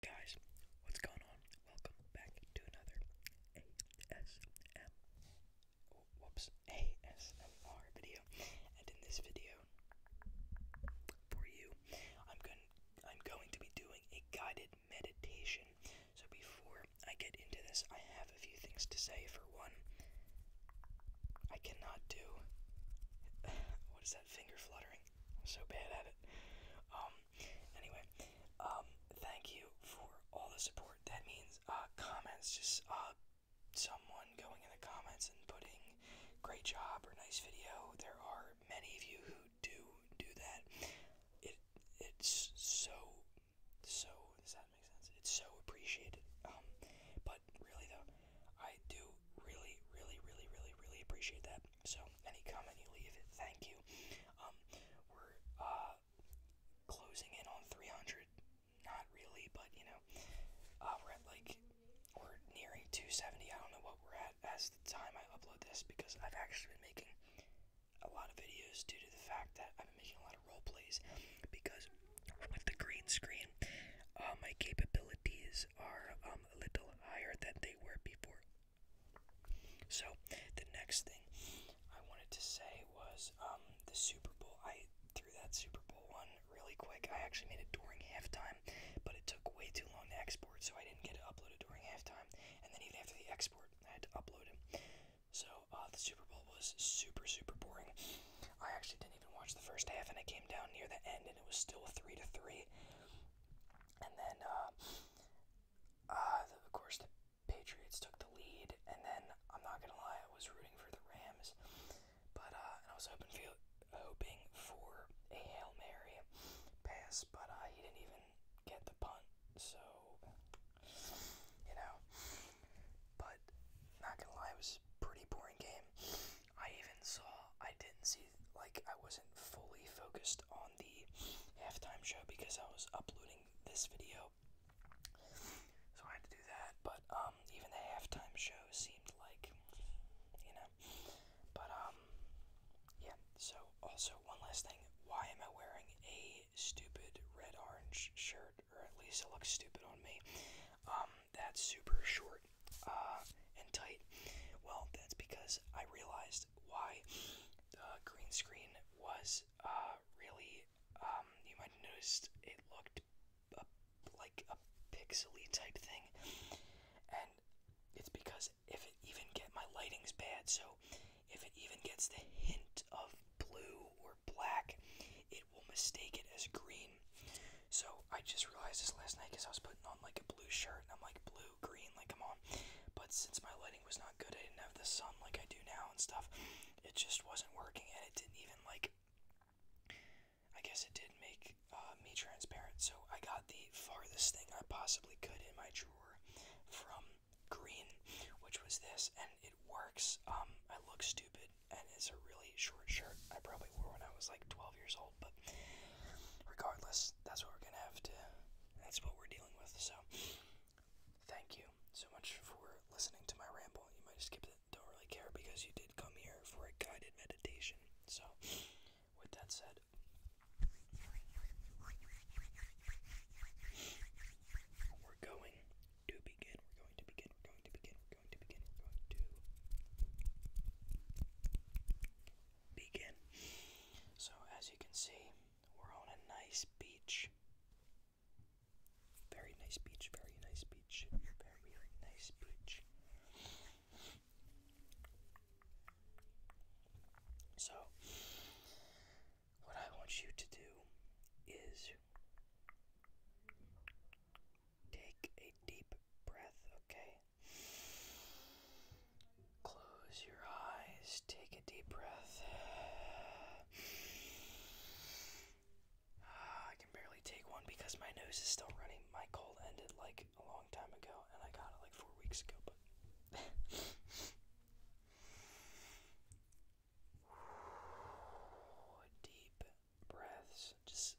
Guys, what's going on? Welcome back to another ASMR video. And in this video, for you, I'm going. to be doing a guided meditation. So before I get into this, I have a few things to say. For one, I cannot do. what is that finger fluttering? I'm so bad at it. Um, Anyway, um, thank you for all the support. That means uh, comments, just uh, someone going in the comments and putting great job or nice video. There are many of you who do do that. It it's so so does that make sense? It's so appreciated. Um, but really though, I do really really really really really appreciate that. So any comment you leave, it thank you. Um, we're uh, closing in on 300. Not really, but you know, uh, we're at like we're nearing 270. I don't know what we're at as the time I upload this because I've actually been making a lot of videos due to the fact that I've been making a lot of role plays because with the green screen, uh, my capabilities are. Um, um, a little higher than they were before. So the next thing I wanted to say was um, the Super Bowl. I threw that Super Bowl one really quick. I actually made it during halftime, but it took way too long to export, so I didn't get it uploaded during halftime. And then even after the export, I had to upload it. So uh, the Super Bowl was super super boring. I actually didn't even watch the first half, and I came down near the end, and it was still three to three. And then, uh, uh, the, of course, the Patriots took the lead. And then, I'm not gonna lie, I was rooting for the Rams, but uh, and I was hoping for, hoping for a hail mary pass, but uh, he didn't even get the punt. So, you know, but not gonna lie, it was pretty boring game. I even saw, I didn't see, like, I wasn't fully focused on the halftime show because I was uploading this video. So I had to do that. But, um, even the halftime show seemed like, you know. But, um, yeah. So, also, one last thing. Why am I wearing a stupid red orange shirt? Or at least it looks stupid on me. Um, that's super short uh, and tight? Well, that's because I realized why the uh, green screen was uh, really. Um, you might have noticed it looked uh, like a pixely type thing, and it's because if it even get my lighting's bad, so if it even gets the hint of blue or black, it will mistake it as green. So I just realized this last night because I was putting on like a blue shirt and I'm like blue, green, like I'm on. But since my lighting was not good, I didn't have the sun like I do now and stuff. It just wasn't working and it didn't even like. I guess it did make uh, me transparent. So I got the farthest thing I possibly could in my drawer from green, which was this, and it works. Um, I look stupid, and it's a really short shirt I probably wore when I was like 12 years old but regardless, that's what we're gonna have to. That's what we're dealing with. So, thank you so much for listening to my ramble. You might skip it, don't really care because you did come here for a guided meditation. So, with that said. We're going to begin. We're going to begin. We're going to begin to begin. We're going to begin. So, as you can see, we're on a nice beach. Very nice beach, very nice beach, very nice beach. So, what I want you to do is take a deep breath, okay? Close your eyes, take a deep breath. Ah, I can barely take one because my nose is still running. My cold ended like a long time ago, and I got it like four weeks ago, but. Deep breaths just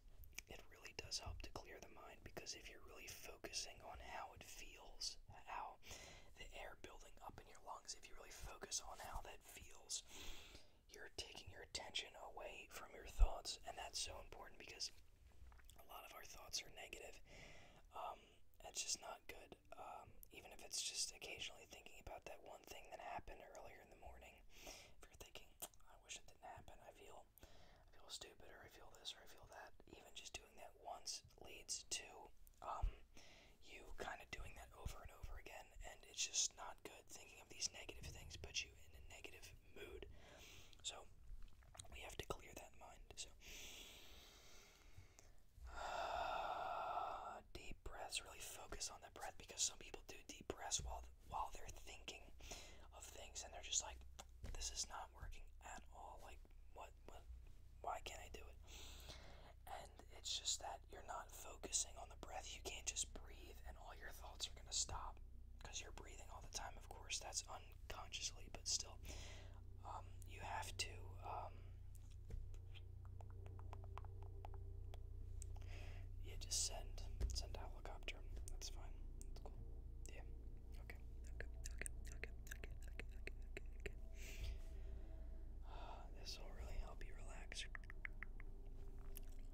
it really does help to clear the mind because if you're really focusing on how it feels how the air building up in your lungs if you really focus on how that feels you're taking your attention away from your thoughts and that's so important because a lot of our thoughts are negative It's um, just not good um, even if it's just occasionally thinking about that one thing that happened earlier in the morning if you're thinking i wish it didn't happen i feel I feel stupid, or I feel this, or I feel that. Even just doing that once leads to um, you kind of doing that over and over again, and it's just not good. Thinking of these negative things puts you in a negative mood. So we have to clear that in mind. So deep breaths. Really focus on that breath because some people do deep breaths while while they're thinking of things and they're just like this is not working at all like what what why can't I do it and it's just that you're not focusing on the breath you can't just breathe and all your thoughts are going to stop because you're breathing all the time of course that's unconsciously but still um, you have to um, yeah, just send. Send a helicopter. That's fine. That's cool. Yeah. Okay. Okay. Okay. Okay. Okay. Okay. Okay. Okay. okay. Ah, this will really help you relax.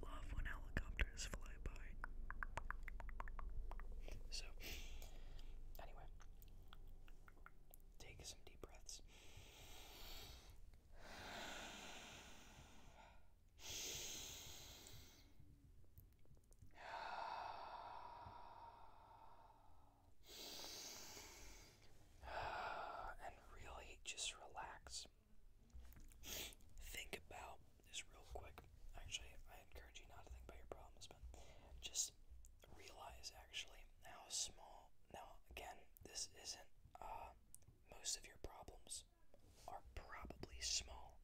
Love when helicopters fly by. So, anyway, take some deep breaths. and really just relax. Think about this real quick. Actually, I encourage you not to think about your problems, but just realize actually how small. Now, again, this isn't uh, most of your problems are probably small.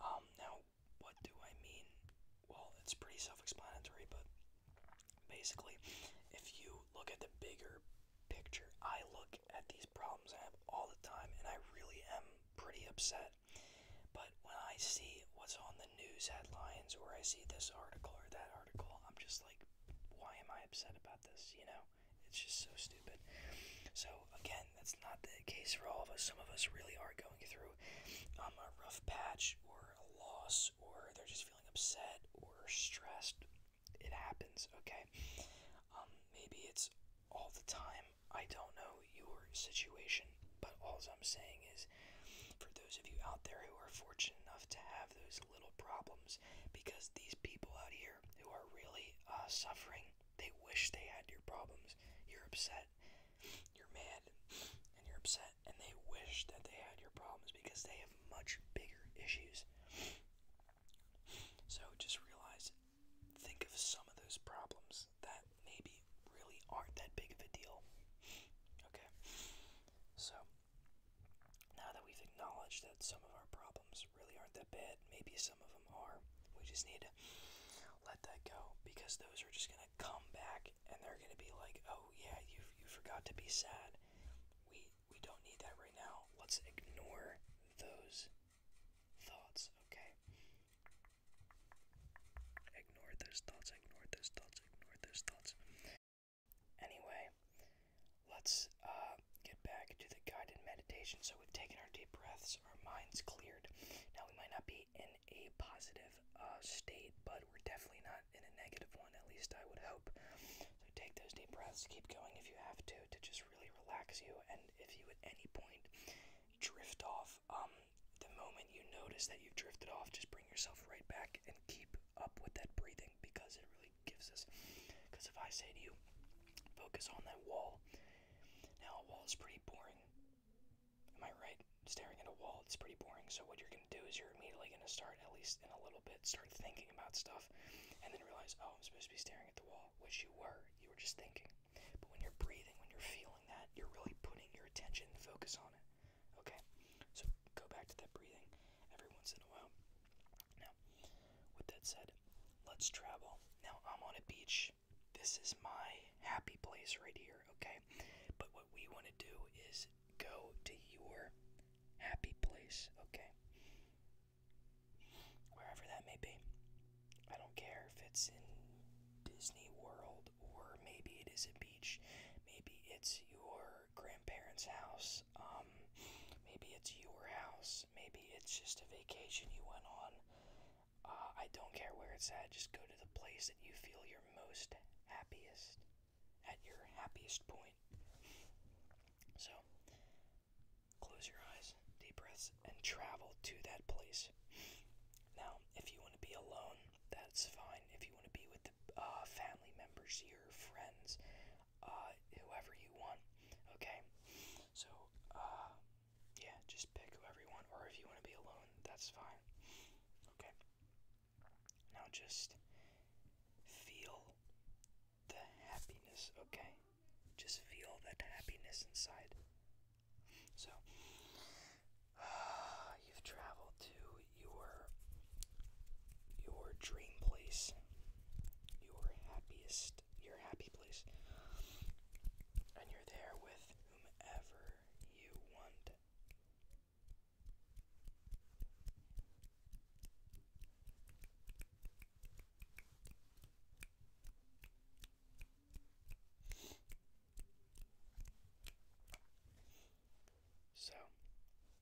Um, now, what do I mean? Well, it's pretty self explanatory, but basically, if you look at the bigger picture, I look at these problems I have all the time and I really am pretty upset. But when I see what's on the news headlines or I see this article or that article, I'm just like, why am I upset about this? You know? It's just so stupid. So again, that's not the case for all of us. Some of us really are going through um, a rough patch or a loss, or they're just feeling upset or stressed. It happens, okay? Um, maybe it's all the time. I don't know your situation, but all I'm saying is for those of you out there who are fortunate enough to have those little problems systems because these people out here who are really uh, suffering, they wish they had your problems. You're upset, you're mad, and you're upset, and they wish that they had your problems because they have much bigger issues. So just realize, think of some of those problems that maybe really aren't that big of a deal. Okay? So, now that we've acknowledged that some of our problems really aren't that bad. Maybe some of them are. We just need to let that go because those are just going to come back and they're going to be like, oh, yeah, you, you forgot to be sad. We, we don't need that right now. Let's ignore those thoughts, okay? Ignore those thoughts, ignore those thoughts, ignore those thoughts. Anyway, let's uh, get back to the guided meditation. So we've taken our deep breaths, our minds cleared. Now we might not be in a positive uh, state, but we're definitely not in a negative one. At least I would hope. So take those deep breaths. Keep going if you have to, to just really relax you. And if you at any point drift off, um, the moment you notice that you've drifted off, just bring yourself right back and keep up with that breathing because it really gives us. Because if I say to you, focus on that wall, now a wall is pretty boring. Am I right? Staring at a wall, it's pretty boring. So what you're going to do is you're immediately going to start, at least in a little bit, start thinking about stuff, and then realize, oh, I'm supposed to be staring at the wall, which you were. You were just thinking. But when you're breathing, when you're feeling that, you're really putting your attention focus on it. Okay, so go back to that breathing every once in a while. Now, with that said, let's travel. Now, I'm on a beach. This is my happy place right here, okay? But what we want to do is go to your happy place, okay? Wherever that may be. I don't care if it's in Disney World or maybe it is a beach, maybe it's your grandparents' house um, maybe it's your house. Maybe it's just a vacation you went on. Uh, I don't care where it's at. Just go to the place that you feel your most happiest, at your happiest point. So, close your eyes, deep breaths, and travel to that place. Now, if you want to be alone, that's fine. If you want to be with the uh, family members, your friends, uh, whoever you want. Okay, so uh, yeah, just pick whoever you want, or if you want to be alone, that's fine. Okay, now just feel the happiness. Okay, just feel that happiness inside. So, you've traveled to your your dream place, your happiest, your happy place, and you're there with whomever you want. So,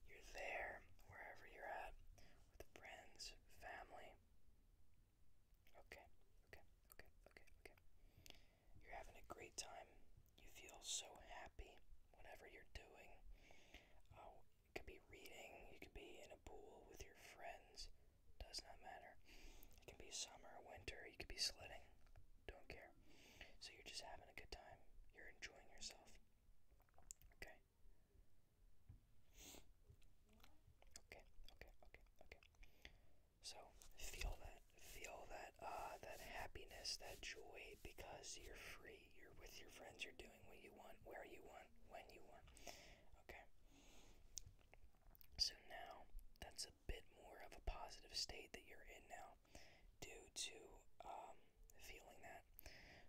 you're there, wherever you're at, with friends, family. Okay, okay, okay, okay, okay. You're having a great time. You feel so happy, whatever you're doing. Oh, uh, you could be reading, you could be in a pool with your friends. Does not matter. It can be summer, winter, you could be sledding. Don't care. So you're just having a good time. You're enjoying yourself. Okay. Okay, okay, okay, okay. So feel that, feel that, ah, that happiness, that joy, because you're free. You're with your friends. You're doing what you want, where you want, when you want. Okay. So now that's a bit more of a positive state that you're in now, due to um, feeling that.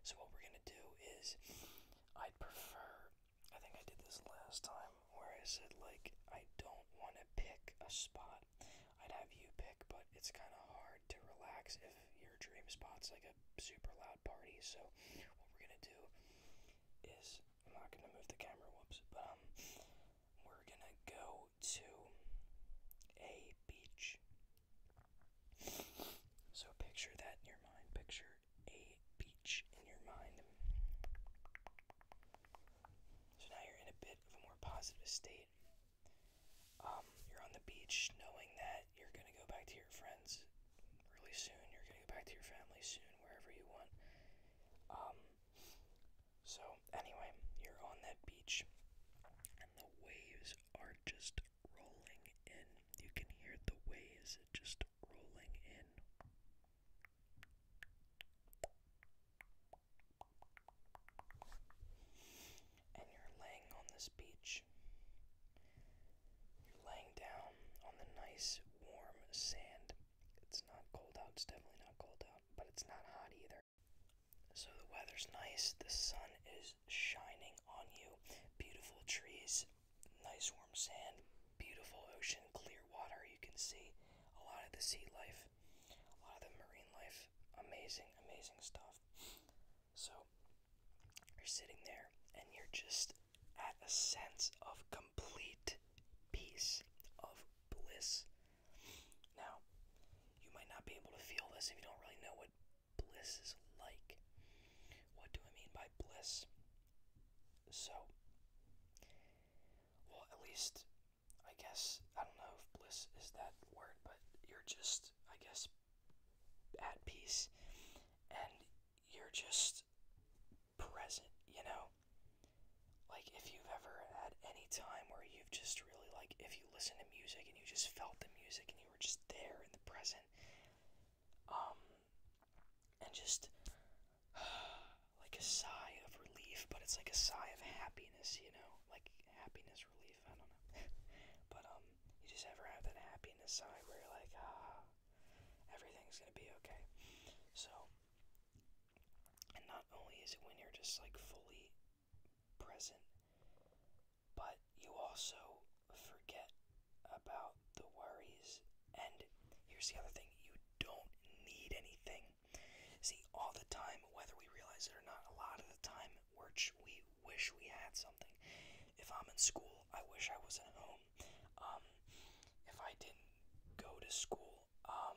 So what we're gonna do is, I'd prefer. I think I did this last time where I said like I don't want to pick a spot. I'd have you pick, but it's kind of hard to relax if your dream spot's like a super loud party. So what we're gonna do is I'm not gonna move the camera. Whoops. But um, we're gonna go to a beach so picture that in your mind. Picture a beach in your mind. So now you're in a bit of a more positive state. Um, you're on the beach knowing that you're going to go back to your friends really soon. You're going to go back to your family soon, wherever you want. Um, so, anyway, you're on that beach and the waves are just rolling in. You can hear the waves just rolling in. And you're laying on this beach. You're laying down on the nice warm sand. It's not cold out, it's definitely not cold out, but it's not hot either. So the weather's nice, the sun is shining on you, beautiful trees, nice warm sand, beautiful ocean, clear water. You can see a lot of the sea life, a lot of the marine life. Amazing, amazing stuff. So you're sitting there and you're just at a sense of complete peace, of bliss. Now, you might not be able to feel this if you don't really know what bliss is like. What do I mean by bliss? So, well, at least, I guess, I don't know if bliss is that word, but you're just, I guess, at peace and you're just present, you know? Like, if you've ever had any time where you've just really, like, if you if you listened to music and you just felt the music and you were just there in the present. Um, and just like a sigh of relief, but it's like a sigh of happiness, you know, like happiness relief. I don't know, but um, you just ever have that happiness sigh where you're like, ah, everything's gonna be okay. So, and not only is it when you're just like fully present, but you also forget about the worries. And here's the other thing you don't need anything. See, all the time, whether we realize it or not, a lot of the time we're we wish we had something. If I'm in school, I wish I was at home. Um, if I didn't go to school um,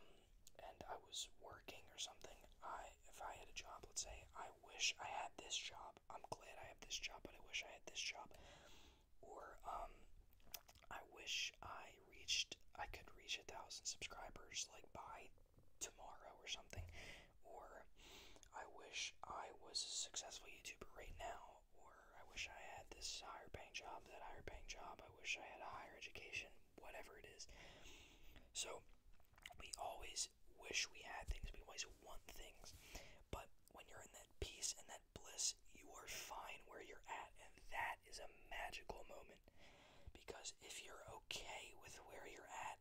and I was working, working or something. I if I had a job, let's say I wish I had this job. I'm glad I have this job, but I wish I had this job. Or um I wish I reached I could reach a thousand subscribers like by tomorrow or something. Or I wish I was a successful YouTuber right now. Or I wish I had this higher paying job, that higher paying job. I wish I had a higher education, whatever it is. So we always wish we had things, we always want things, but when you're in that peace and that bliss, you are fine where you're at, and that is a magical moment. Because if you're okay with where you're at,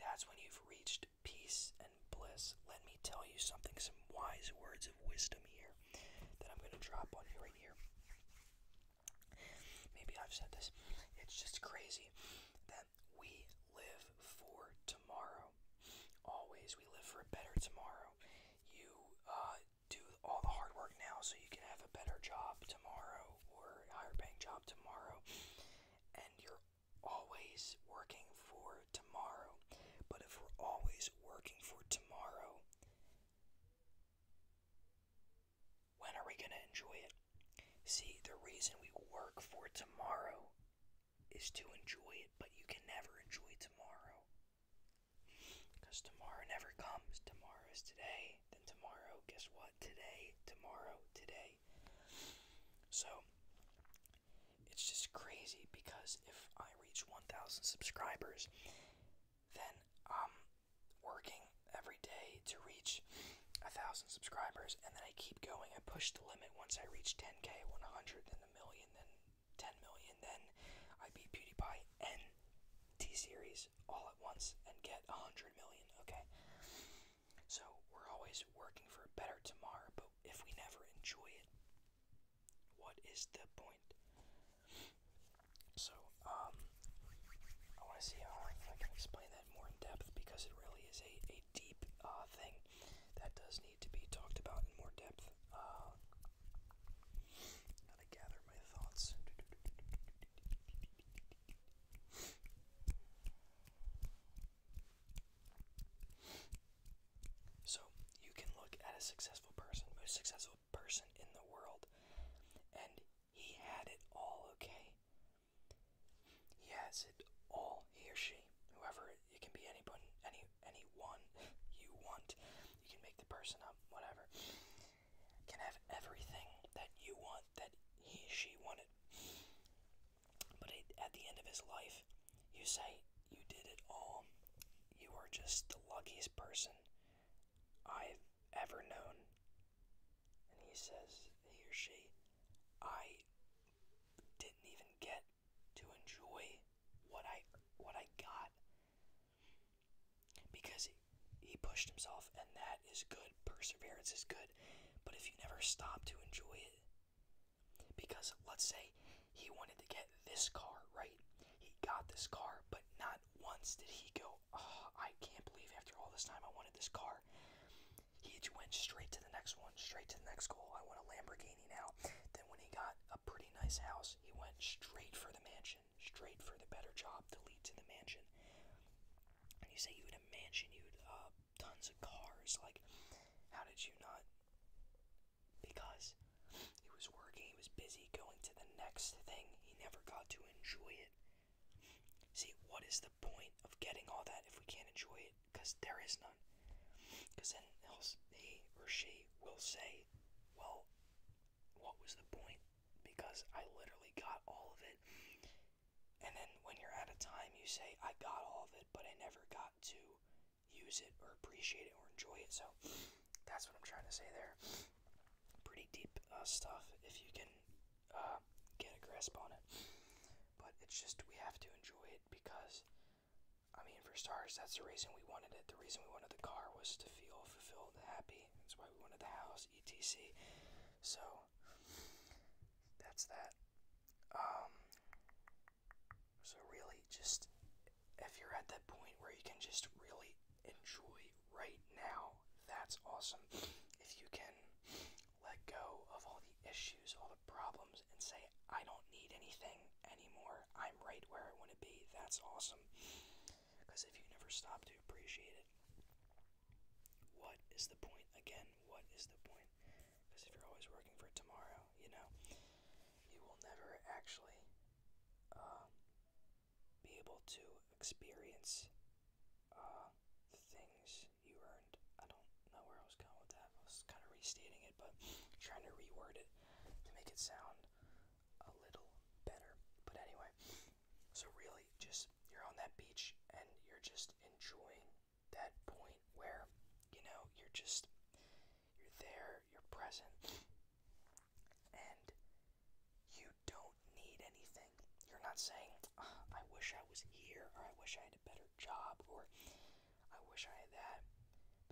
that's when you've reached peace and bliss. Let me tell you something, some wise words of wisdom here that I'm going to drop on you right here. Maybe I've said this. It's just crazy that we live for tomorrow. Always, we live for a better tomorrow. You uh, do all the hard work now so you can have a better job tomorrow or a higher paying job tomorrow. And you're always working for tomorrow. But if we're always working for tomorrow, when are we going to enjoy it? See, the reason we work for tomorrow is to enjoy it, but you can never enjoy tomorrow. Because tomorrow never comes. Tomorrow is today, then tomorrow, guess what? Today, tomorrow, today. So, it's just crazy because if I reach 1,000 subscribers, then I'm working every day to reach a thousand subscribers, and then I keep going. I push the limit once I reach 10k, 100, then a million, then 10 million, then I beat PewDiePie and T Series all at once and get 100 million. Okay, so we're always working for a better tomorrow, but if we never enjoy it, what is the point? So, um, I want to see how I can explain that more in depth because it really is a, a deep uh, thing that does need to be talked about in more depth. Uh, to gather my thoughts. So, you can look at a successful person, most successful person in the world, and he had it all, okay? He has it all, he or she, whoever, it can be anybody, any, any one you want. You can make the person up, whatever. Can have everything that you want, that he she wanted. But at the end of his life, you say, you did it all. You are just the luckiest person I've ever known. And he says, he or she, I didn't even get to enjoy what I what I got because he, he pushed himself and that is good perseverance is good but if you never stop to enjoy it because let's say he wanted to get this car right he got this car but not once did he go oh, I can't believe after all this time I wanted this car. He went straight to the next one, straight to the next goal. I want a Lamborghini now. Then when he got a pretty nice house, he went straight for the mansion, straight for the better job to lead to the mansion. And you say you would a mansion, you would uh, tons of cars. Like, how did you not? Because he was working he was busy going to the next thing. He never got to enjoy it. See, what is the point of getting all that if we can't enjoy it? Because there is none. Because then else he or she will say, well, what was the point? Because I literally got all of it. And then when you're at a time, you say, I got all of it, but I never got to use it or appreciate it or enjoy it. So that's what I'm trying to say there. Pretty deep uh, stuff if you can uh, get a grasp on it. But it's just we have to enjoy it because, I mean, for stars, that's the reason we wanted it. The reason we wanted the car was to feel fulfilled, and happy. That's why we wanted the house, etc. So that's that. Um, so really, just if you're at that point where you can just really enjoy right now. That's awesome. If you can let go of all the issues, all the problems, and say, I don't need anything anymore, I'm right where I want to be, that's awesome. Because if you never stop to appreciate it, what is the point? Again, what is the point? Because if you're always working for tomorrow, you know, you will never actually um, be able to experience uh, the things you earned. I don't know where I was going with that. I was kind of restating it, but trying to reword it to make it sound a little better. But anyway, so really, just you're on that beach and you're just enjoying that point where you know you're just you're there, you're present, and you don't need anything. You're not saying, ah, I wish I was here, or I wish I had a better job, or I wish I had that.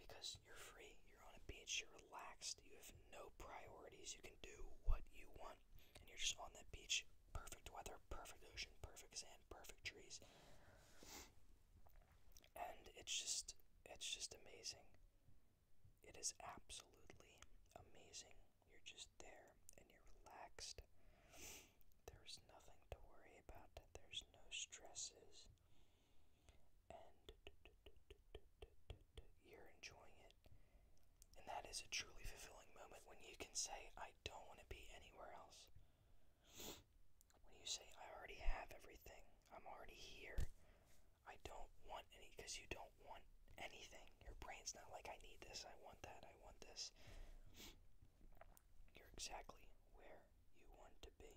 Because you're free, you're on a beach, you're relaxed, you have no priorities, you can do what you want, and you're just on that beach. Perfect weather, perfect ocean, perfect sand, perfect trees. And it's just, it's just amazing. It is absolutely amazing. You're just there and you're relaxed. There's nothing to worry about, there's no stresses. And you're enjoying it. And that is a truly fulfilling moment when you can say, I don't want to be anywhere else. When you say, I already have everything, I'm already here, I don't want any because you don't want anything. Your brain's not like, I need this, I want that, I want this. You're exactly where you want to be.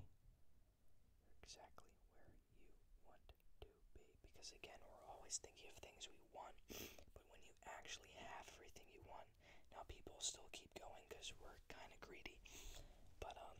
You're exactly where you want to be. Because again, we're always thinking of things we want, but when you actually have everything you want, now people still keep going because we're kind of greedy. But, um,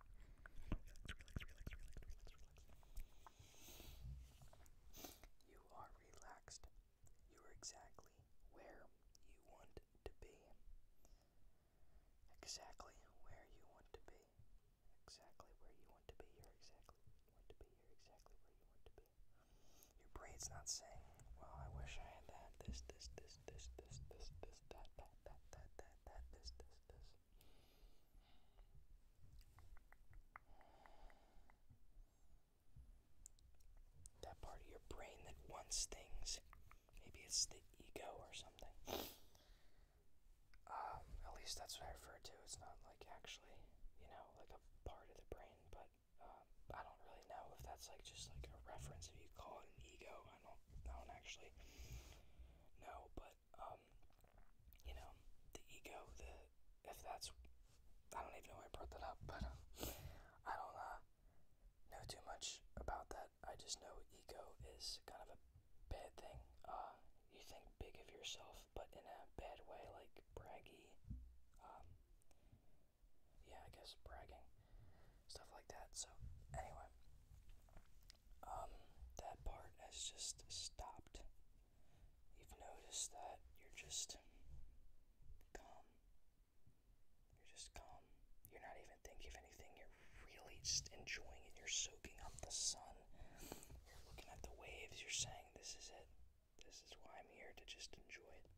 You are relaxed. You are exactly where you want to be. Exactly where you want to be. Exactly where you want to be. You're exactly where you want to be. You're exactly where you want to be. Your brain's not saying, well, I wish I had this, this, this, this, this, this, this, that, that that, that, that, that, this, this, this. That part of your brain that wants things. Maybe it's the ego or something. Um, at least that's what I refer to. It's not like actually, you know, like a part of the brain, but um, I don't really know if that's like just like a reference if you call it an ego I don't, I don't actually know, but um, you know, the ego, the if that's, I don't even know why I brought that up, but uh, I don't uh, know too much about that. I just know ego is kind of a bad thing. Uh, you think big of yourself, but in a bad way, like braggy. Um, yeah, I guess bragging stuff like that. So, anyway, um, that part has just stopped. You've noticed that you're just calm. You're just calm. You're not even thinking of anything. You're really just enjoying it. You're soaking up the sun. You're looking at the waves. You're saying, This is it. This is why I'm here to just enjoy it.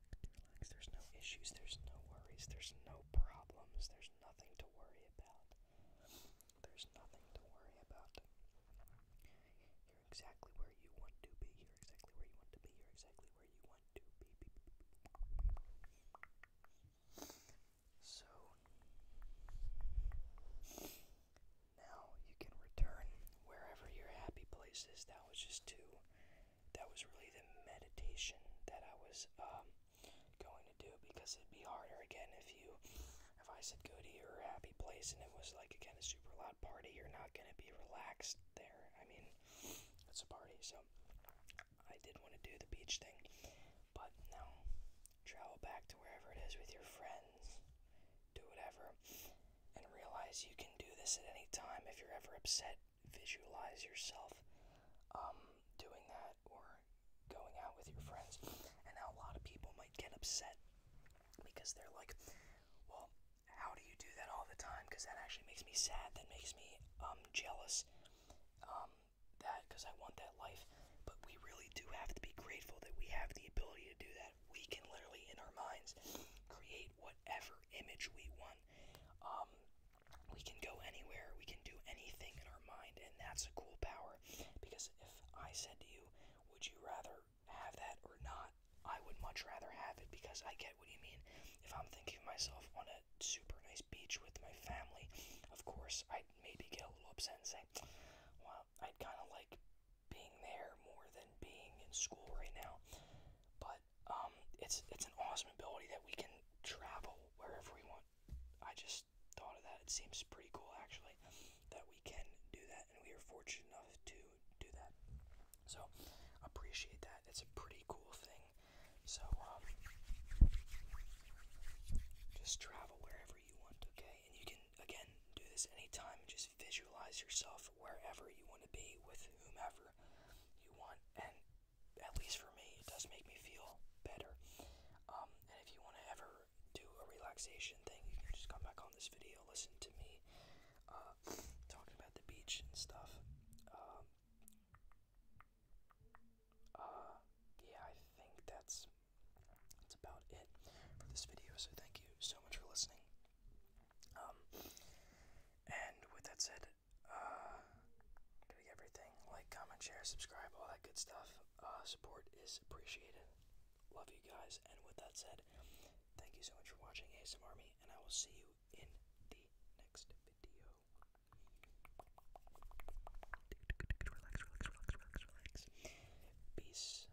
there's no issues, there's no worries, there's no problems, there's nothing to worry about. There's nothing to worry about. You're exactly where you want to be, you're exactly where you want to be, you're exactly where you want to be. So now you can return wherever your happy place is. That was just two that was really the meditation that I was um, going to do because it'd be harder again if you if I said go to your happy place and it was like again a super loud party you're not gonna be relaxed there I mean it's a party so I did want to do the beach thing but now, travel back to wherever it is with your friends do whatever and realize you can do this at any time if you're ever upset visualize yourself um, doing that or going out with your friends. And now a lot of people might get upset because they're like, well, how do you do that all the time? Because that actually makes me sad. That makes me um, jealous. Um, that because I want that life. But we really do have to be grateful that we have the ability to do that. We can literally, in our minds, create whatever image we want fun. Um, we can go anywhere, we can do anything in our mind, and that's a cool power. Because if I said to you, would you rather have that or not? I would much rather have it because I get what you mean. If I'm thinking of myself on a super nice beach with my family, of course, I'd maybe get a little upset and say, well, I'd kind of like being there more than being in school right now. But um, it's it's an awesome ability that we can travel wherever we want. I just thought of that. It seems pretty cool actually that we can do that, and we are fortunate enough to do that. So appreciate that. It's a pretty cool thing. So um, just travel wherever you want, okay? And you can again do this anytime. Just visualize yourself wherever you want to be with whomever you want. And at least for me, it does make me feel better. Um, and if you want to ever do a relaxation thing, you can just come back on this video, listen to me uh, talking about the beach and stuff. Um, uh, yeah, I think that's that's about it for this video. So thank you so much for listening. Um, and with that said, uh, doing everything like, comment, share, subscribe, all that good stuff. Uh, support is appreciated. Love you guys. And with that said, thank you so much for watching ASM Army, and I will see you in the next video. Relax, relax, relax, relax, relax. Peace.